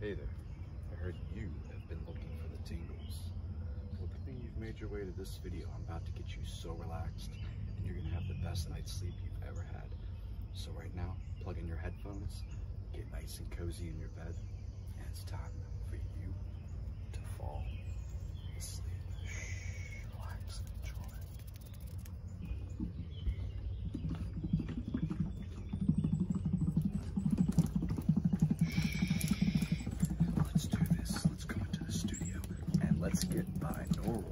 Hey there, I heard you have been looking for the tingles. Well, good thing you've made your way to this video. I'm about to get you so relaxed, and you're gonna have the best night's sleep you've ever had. So right now, plug in your headphones, get nice and cozy in your bed, and it's time for you to fall asleep. relax and enjoy. Let's do this. Let's go into the studio and let's get binaural.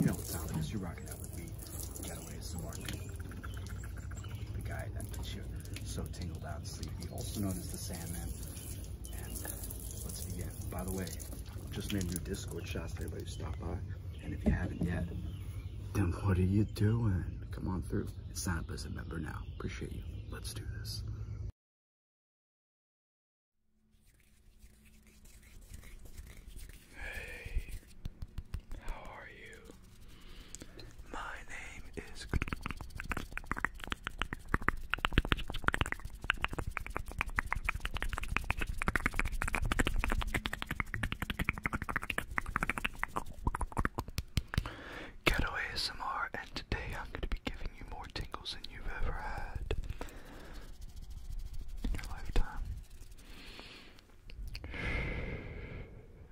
You know what sound it is. You're rocking out with me. Getaway is the mark. The guy that gets you so tingled out sleepy, also known as the Sandman. And let's begin. By the way, just made new Discord shots for everybody who stopped by. And if you haven't yet, then what are you doing? Come on through sign up as a member now. Appreciate you. Let's do this. Hey, how are you? My name is. Ghetto ASMR, and today I'm going to be giving you more tingles than you've ever had in your lifetime.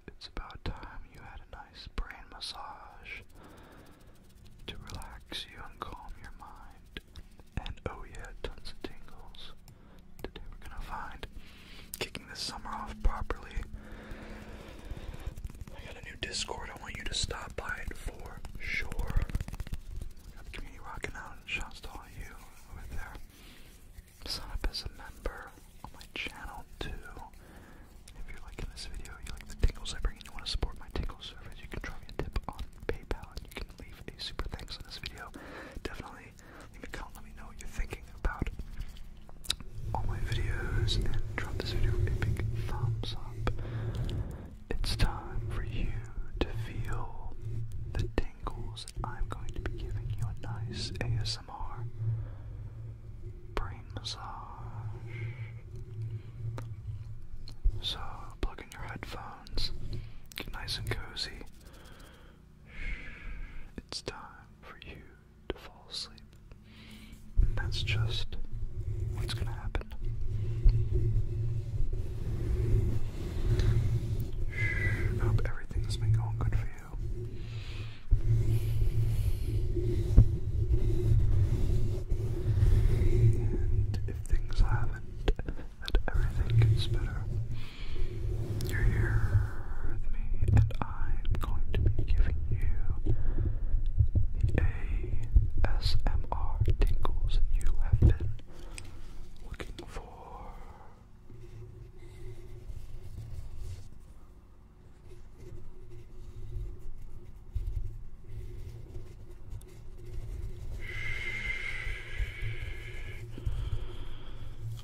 It's about time you had a nice brain massage to relax you and calm your mind. And oh, yeah, tons of tingles. Today we're gonna find kicking this summer off properly. I got a new Discord I want you to stop by it for sure. We got the community rocking out and shouts to all you over there. Sign up as a member on my channel too. If you're liking this video, you like the tingles I bring and you want to support my tingle service, you can drop me a tip on PayPal you can leave a super thanks on this video. Definitely let me know what you're thinking about all my videos, and drop this video a big thumbs up. It's time for you to feel the tingles I'm going to be giving you a nice ASMR brain massage. So plug in your headphones, get nice and cozy, it's time for you to fall asleep. that's just what's going to happen. hope everything's been going good for you. And if things haven't, that everything gets better. You're here with me, and I'm going to be giving you the ASMR tingles you have been looking for.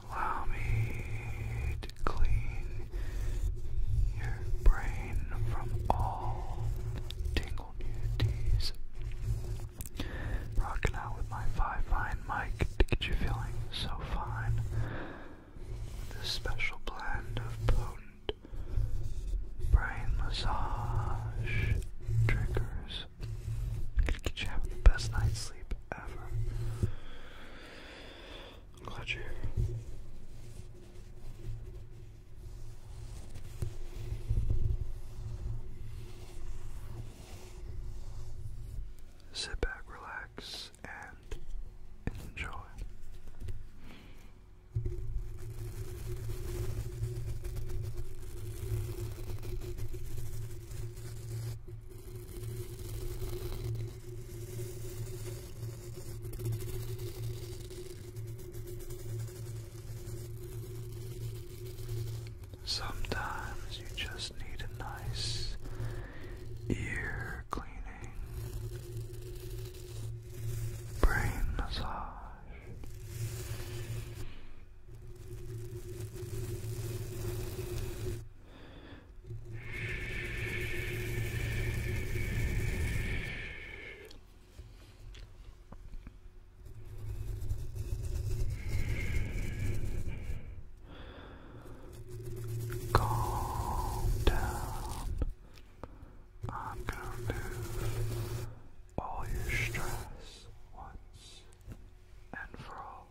Allow me to clean your brain from all tingle nudities. Rocking out with my five fine mic to get you feeling so fine. This special blend of potent brain massage triggers gonna get you having the best night's sleep ever. I'm glad you're here. Sit back, relax, and enjoy. Sometimes you just need a nice ear cleaning, brain massage, Calm down. I'm gonna remove all your stress once and for all.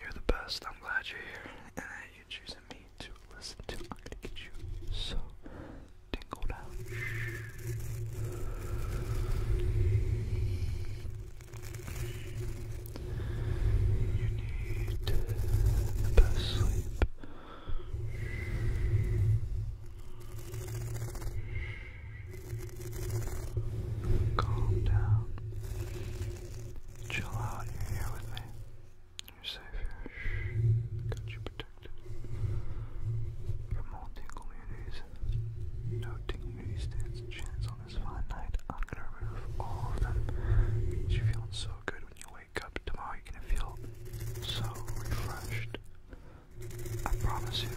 You're the best. I'm glad you're here and that you're choosing me to listen to. I'm gonna get you so tingled out. You need the best sleep. Calm down. Chill out. You're here with me. You're safe here. Got you protected from all tingle muties. No tingle muties a chance on this fine night. I'm gonna remove all of them. It's feeling so good when you wake up tomorrow. You're gonna feel so refreshed. I promise you.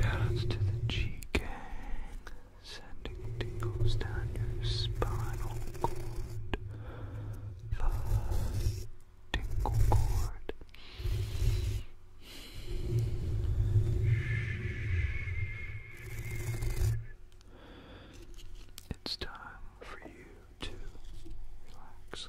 Shoutouts to the G Gang sending tingles down your spinal cord, the tingle cord. It's time for you to relax.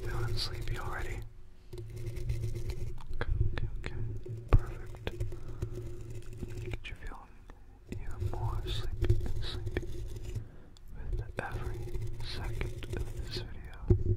Feeling sleepy already. Okay, okay, Perfect. Get you feeling even more sleepy, sleepy with every second of this video.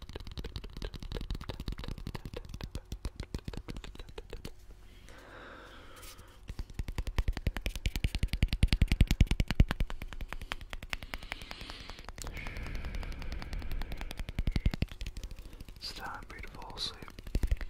It's time for you to fall asleep. Good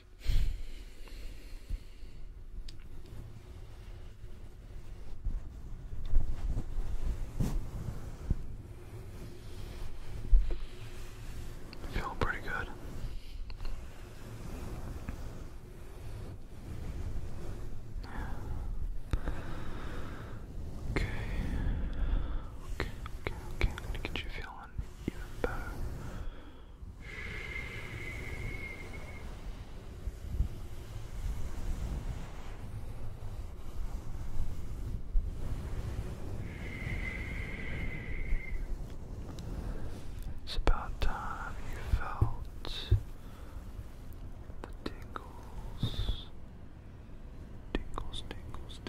Feeling pretty good. Okay. Okay, okay, okay. i you feeling even better. It's about time you felt the tingles, tingles, tingles,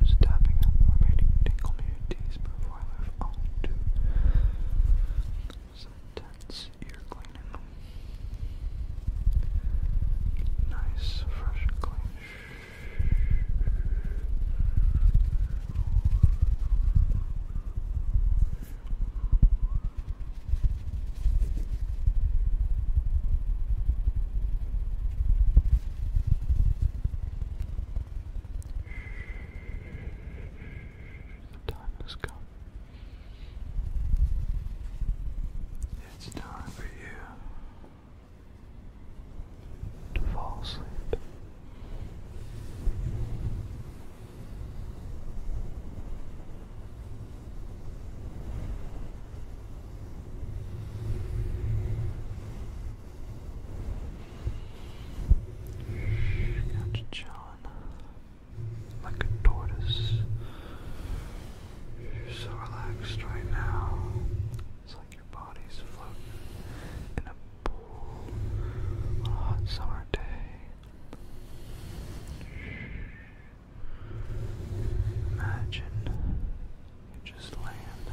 Just tapping on the remaining tingle communities before I move on to some intense ear cleaning. Nice, fresh, clean. The time has come. It's time for you to fall asleep. Catch John like a tortoise. You're so relaxed right now. Bodies body's floating in a pool on a hot summer day. Imagine you just land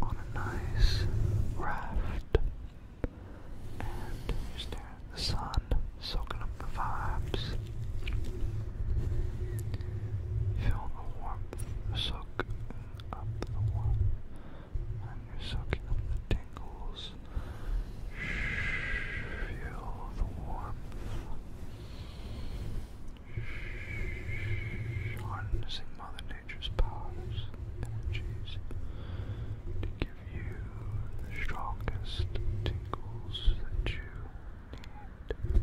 on a nice raft and you stare at the sun, soaking up the vibes. Feel the warmth soak up the one, and you're soaking up the tingles. Feel the warmth. Harnessing Mother Nature's powers, energies, to give you the strongest tingles that you need.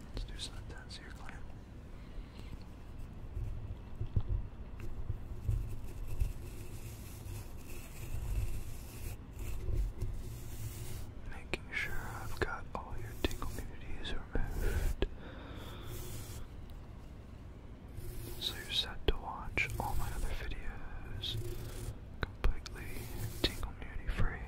Let's do Sundance here, clan. Making sure I've got all your tingle immunities removed. So you're set to watch all my other videos completely tingle immunity free.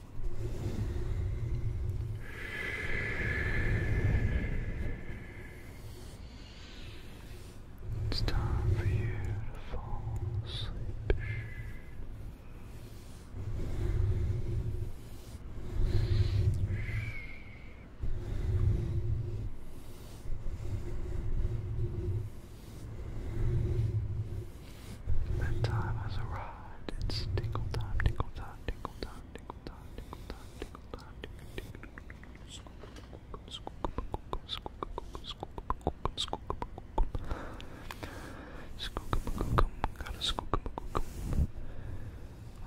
It's time for you to fall asleep. That time has arrived. It's tinkle time, tinkle time, tinkle time, tinkle time, tinkle time, tinkle time, tinkle time, Gotta skookamagookam.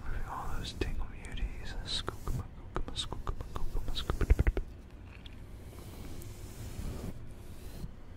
Removing all those tingle beauties. Skookamagookama, skookamagookama, skookamagookama.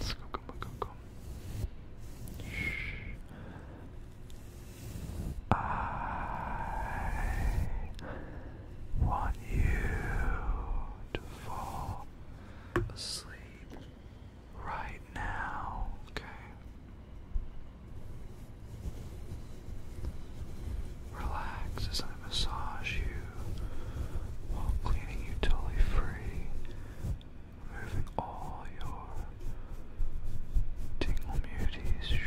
go, go, go, go, go. I want you to fall asleep right now, okay? Relax as I massage you while cleaning you totally free, removing all your tingle muties.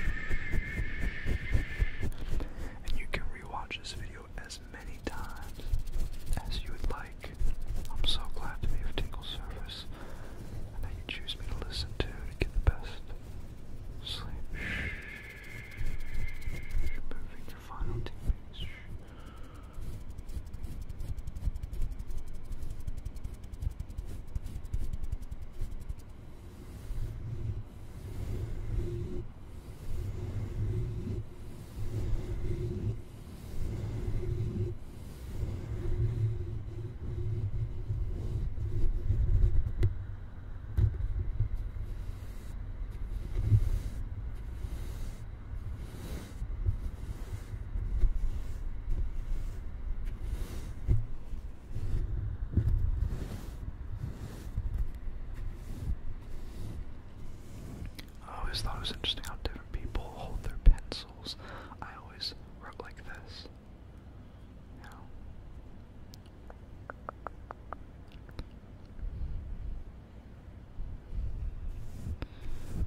And you can rewatch this video as many times as you would like. I'm so glad to be of Tingle service and that you choose me to listen to to get the best sleep. Moving to final two minutes. Moving I always thought it was interesting how different people hold their pencils. I always wrote like this.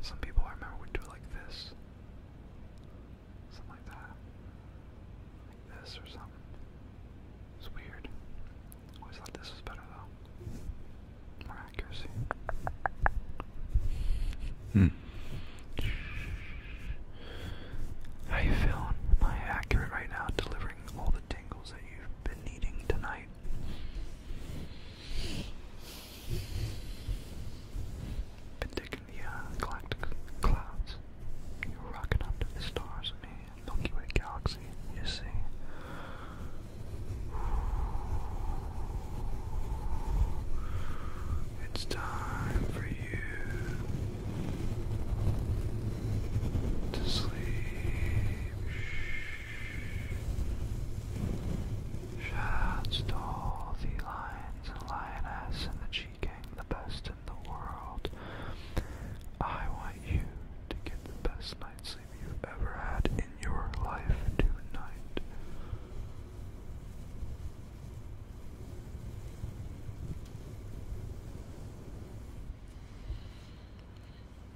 Some people I remember would do like this. Something like that. Like this or something. It's weird. Always thought this was better though. More accuracy. Hmm. How you feeling? Am I accurate right now delivering all the tingles that you've been needing tonight. Been taking the uh, galactic clouds. You're rocking up to the stars and Milky Way galaxy, you see. It's time for you to sleep. Shots to all the lions and lioness and the G-Gang, the best in the world. I want you to get the best night's sleep you've ever had in your life tonight.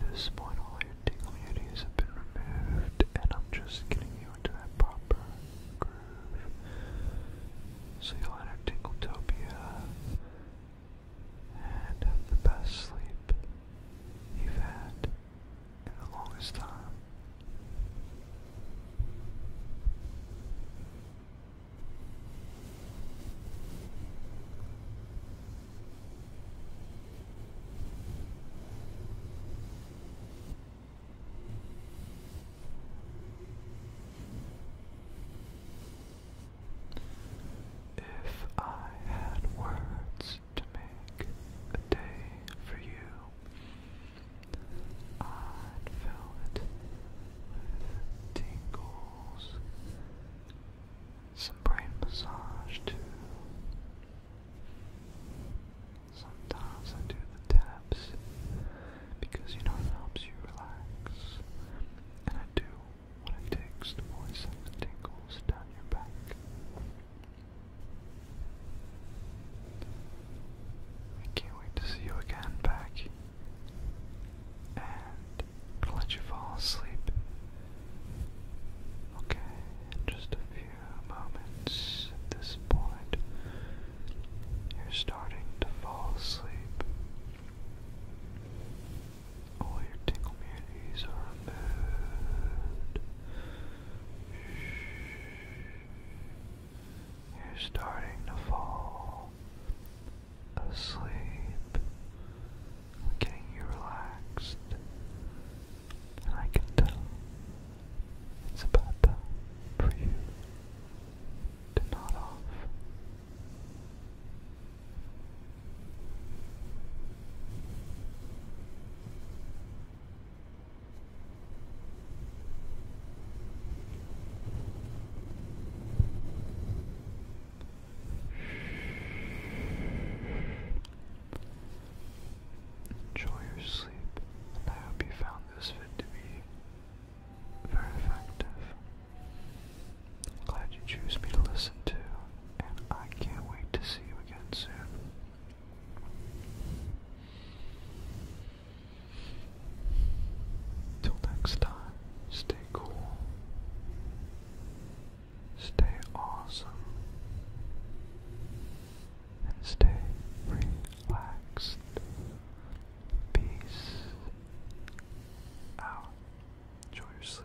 At this point, all your tingly ideas have been removed, and I'm just getting you into that proper groove. So you'll enter Tingletopia and have the best sleep you've had in the longest time. If I had words to make a day for you, I'd fill it with tingles some brain massage too. Sometimes I do the taps because you know it helps you relax. And I do what it takes to voice out the tingles down your back. I can't wait to see you again, Becky. And I'm gonna let you fall asleep. Okay, in just a few moments at this point, you're starting to fall asleep. All your tingle muties are removed. You're starting to fall asleep getting you relaxed. And I can tell it's about time for you to nod off. Enjoy your sleep, and I hope you found this fit to be very effective. Glad you choose me to listen to, and I can't wait to see you again soon. Till next time, stay cool. Stay awesome and stay relaxed. Peace out. Enjoy your sleep.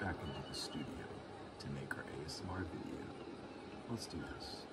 back into the studio to make our ASMR video. Let's do this.